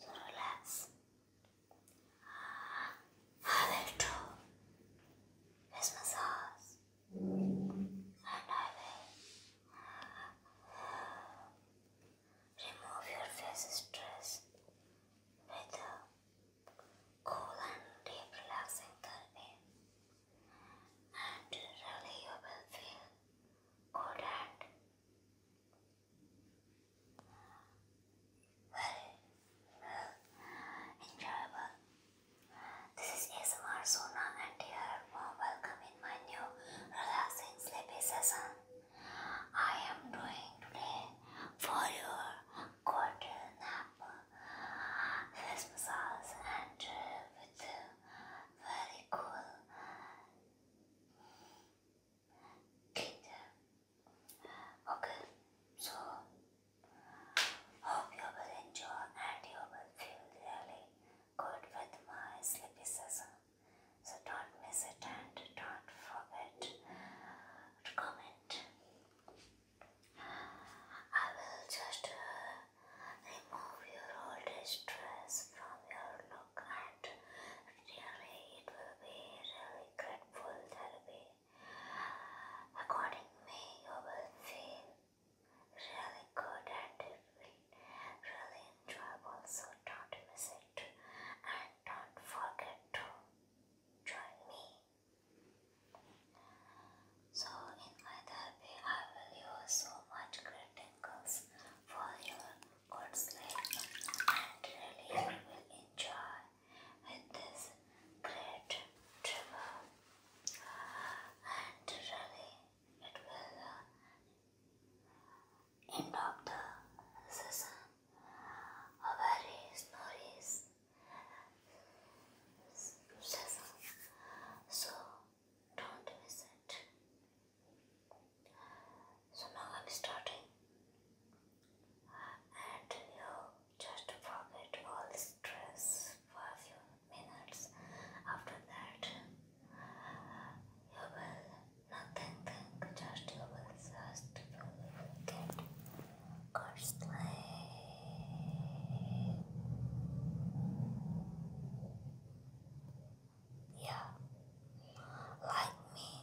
So relax. I will do this massage and I will remove your face stress with a cool and deep relaxing therapy and really you will feel good and enjoyable. This is ASMR and dear warm welcome in my new relaxing sleepy session. I am doing today for your quarter nap this massage and uh, with uh, very cool Kinder, okay, so hope you will enjoy and you will feel really good with my sleepy session. So don't miss it and don't forget to comment. I will just uh, Remove your old stress from your look and really it will be really grateful therapy. According to me, you will feel really good and it will really enjoyable. So don't miss it and don't forget to join me. So in my therapy, I will use so much great angles for your good sleep and really you will enjoy this great travel and really it will uh, end of the season a very snowy season so don't miss it. So now I'm starting, and you just forget all stress for a few minutes. After that, you will nothing think, just you will just you will get constantly. Yeah. Like me.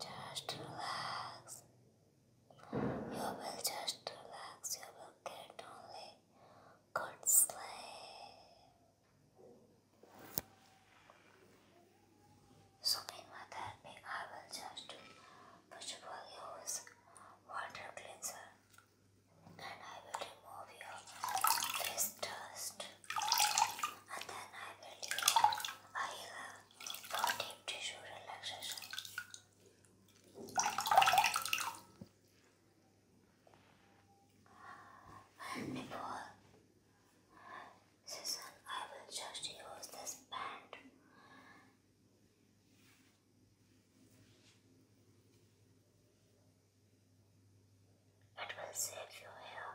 Just relax. You will just relax. You will get only good sleep. So in my therapy, I will just push for use water cleanser. Then I will remove your face dust. And then I will do I uh, for tissue relaxation. before session, I will just use this band. It will save if you will.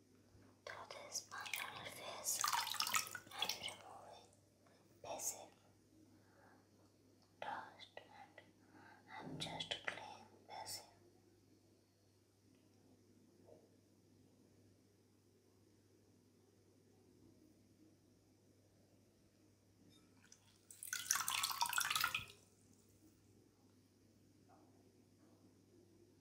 Do my on your face and removing basic dust and I'm just clean basic.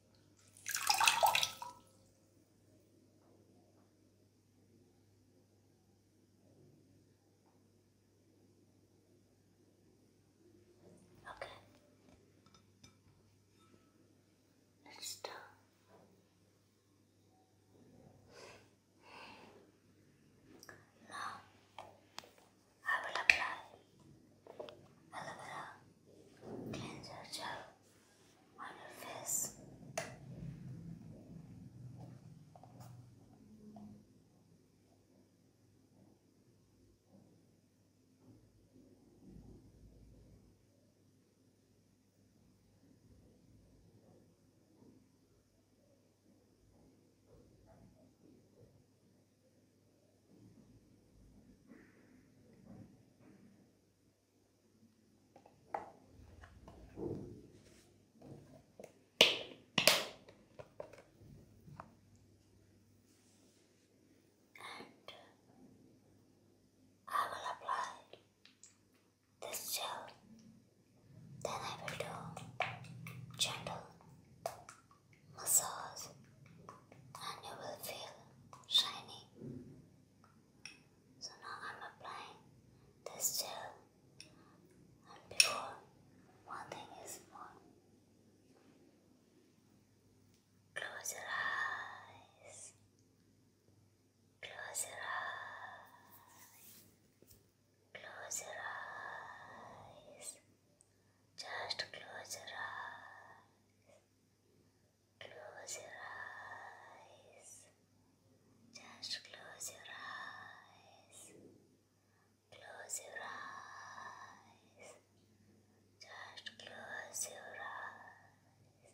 Okay. Let's Now I will apply aloe vera cleanser gel on your face. I will apply this gel. Then I will do gentle massage and you will feel shiny. So now I'm applying this gel and before one thing is more. Close your eyes. Close your eyes. Close your eyes. Just close your eyes. Close your eyes. Just close your eyes. Close your eyes. Just close your eyes.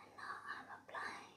And now I'm applying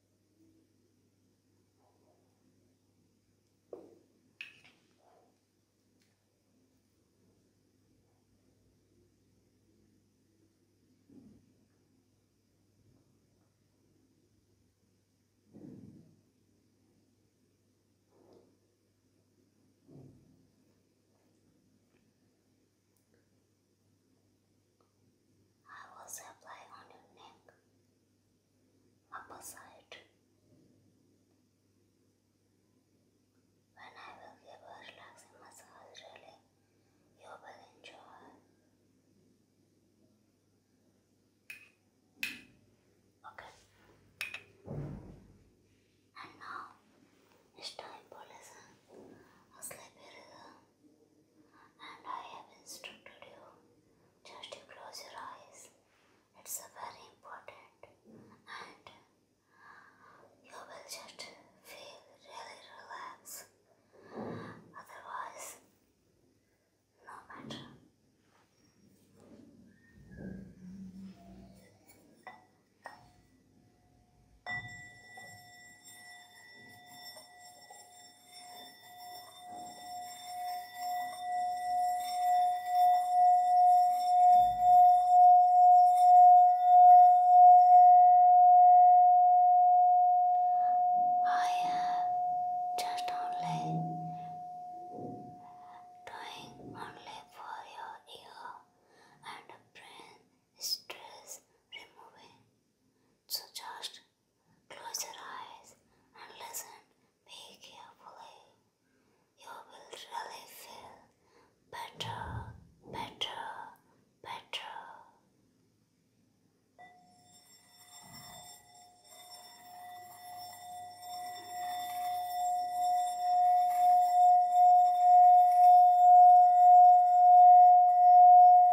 I will apply on your neck upper When I will give a relaxing massage, really, you will enjoy. Okay. And now it's time for listen a sleepy and I have instructed you just to close your eyes. It's very important, and you will just feel really relaxed. Otherwise, no matter. I am uh, just only doing only for your ego and brain stress removing. So just close your eyes and listen very carefully. You will really feel better, better, better.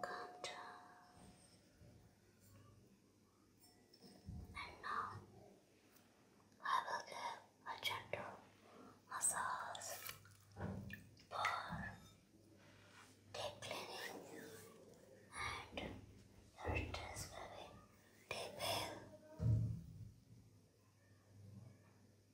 Calm down. And now I will give a gentle massage for deep cleaning and your stress will be deep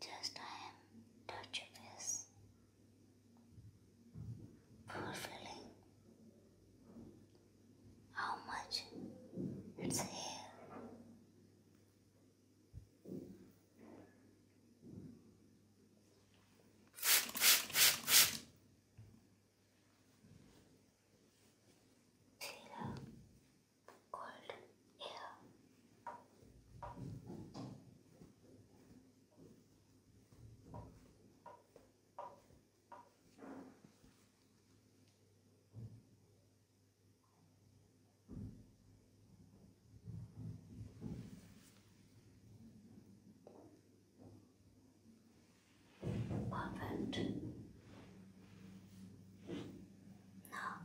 Just I am touching this fulfilling how much it's here. Feel cold. Perfect. Now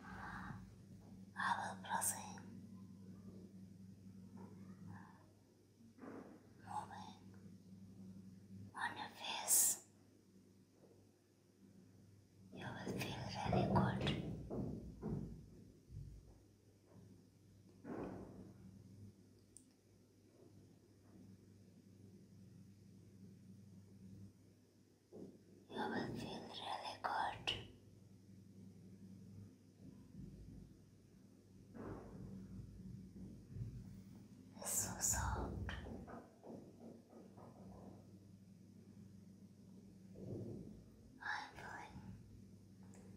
I will proceed moving on your face. You will feel really good you will feel really good. It's so soft. I'm feeling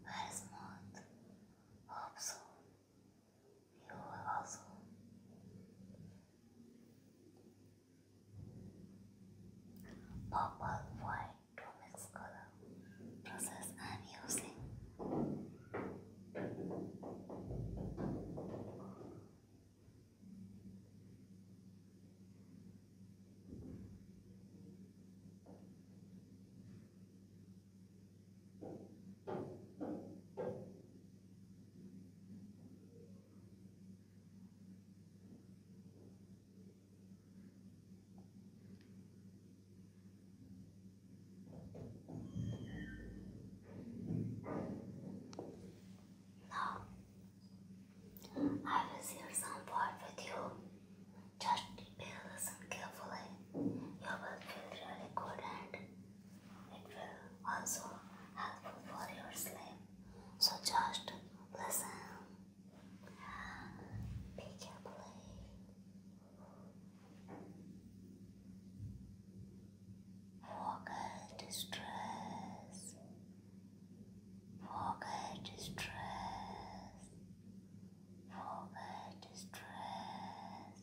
very smooth. Hope so. You will also purple, white to mix color process I am using. Now, I will share some part with you. Just pay listen carefully. You will feel really good and it will also helpful for your sleep. So just listen. Be careful. Forget stress. Forget stress. Forget stress